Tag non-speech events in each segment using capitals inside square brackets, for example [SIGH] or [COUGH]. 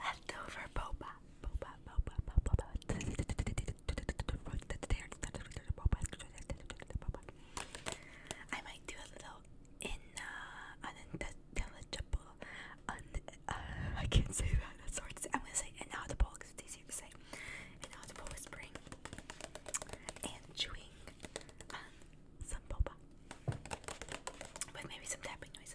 Leftover boba. Boba, boba, boba, boba. I might do a little in uh, unintelligible. Uh, I can't say that. That's to say. I'm gonna say inaudible because it's easier to say. Inaudible whispering and chewing on um, some boba with maybe some tapping noise.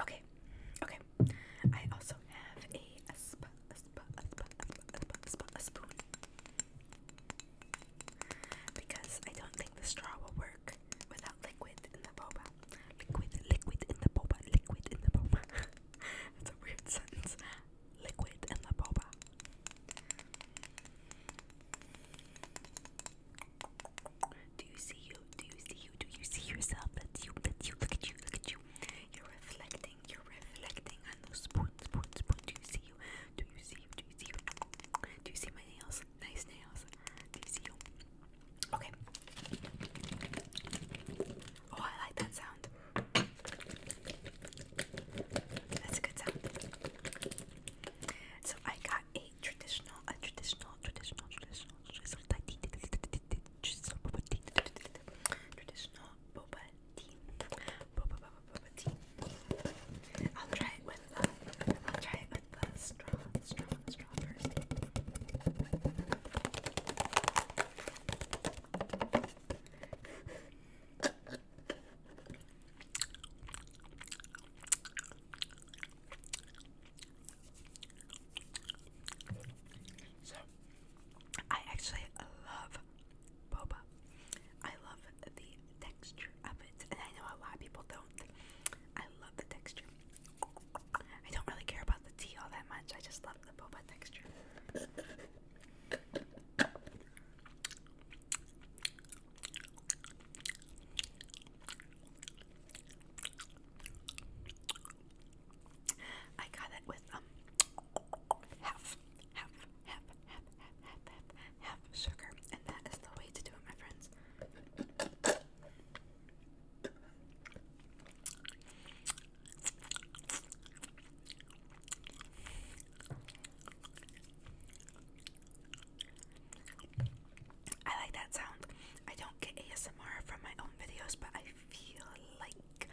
Okay, okay. I also have a, a, sp a, sp sp sp sp a spoon because I don't think the straw will work without liquid in the boba. Liquid, liquid in the boba, liquid in the boba. [LAUGHS] That's a weird sentence. Liquid in the boba. Do you see you? Do you see you? Do you see yourself? That's you. That's you. Look at you. Look at you. You're reflecting. You're reflecting on those spoon, spoon, spoon. Do you see you? Do you see you? Do you see you? Do you see my nails? Nice nails. Do you see you? Okay. Oh, I like that sound. That's a good sound. So I got a traditional, a traditional, traditional, traditional, traditional, traditional tea, traditional boba tea. I'll try it with the, uh, I'll try it with the uh, straw, straw, straw first. I actually love boba. I love the texture of it, and I know a lot of people don't. I love the texture. I don't really care about the tea all that much. I just love the boba texture. I got it with um half, half, half, half, half, half, half sugar, and that is the way to do it, my friends. I like that sound. I don't get ASMR from my own videos, but I feel like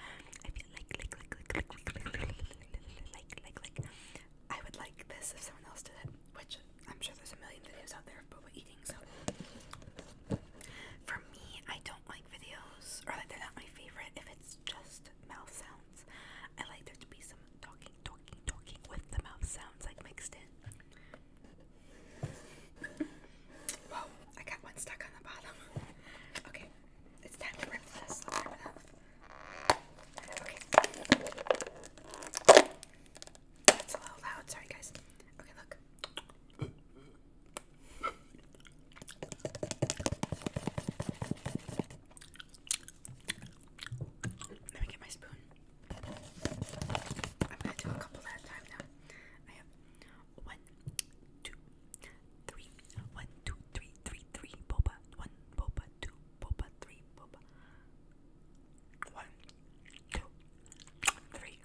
I feel like like like like like like like like I would like this if someone else did it, which I'm sure there's a million videos out there of boba eating. So for me, I don't like videos, or like they're not my favorite if it's just mouth sounds. I like there to be some talking, talking, talking with the mouth sounds like mixed in. [LAUGHS] Whoa, I got one stuck on the bottom. [LAUGHS] Okay, it's time to rip this. let Okay. That's a little loud, sorry guys. Okay, look. Let me get my spoon. I'm gonna do a couple at a time now. I have one, two, three, one, two, three, three, three, boba, one, boba, two, boba, three, boba. One, two, three.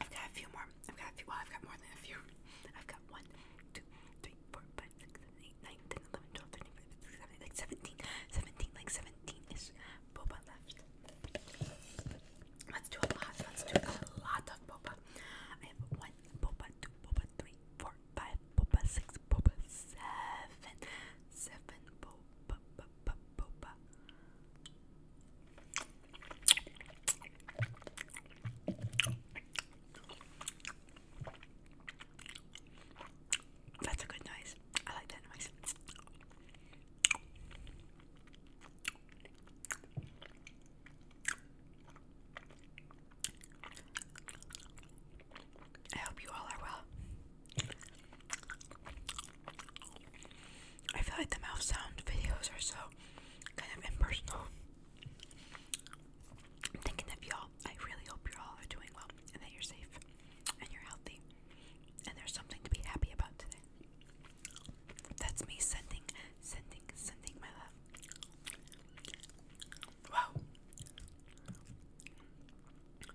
I've got a few more. I've got a few. Well, I've got more than a few. I've got one, two, three, four, five, six, seven, eight, nine, ten, eleven, twelve, thirteen, fifteen, sixteen, seventeen, like seventeen, seventeen, like seventeen is boba left. Let's do a lot. Let's do a lot of boba. I have one boba, two boba, three, four, five boba, six boba, seven, seven boba, boba, boba. That's a good noise. I like that noise. I hope you all are well. I feel like the mouth sound videos are so kind of impersonal. I'm thinking of y'all. I really hope you're all are doing well and that you're safe and you're healthy and there's something to be happy about today. That's me sending, sending, sending my love. Wow.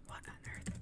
What on earth?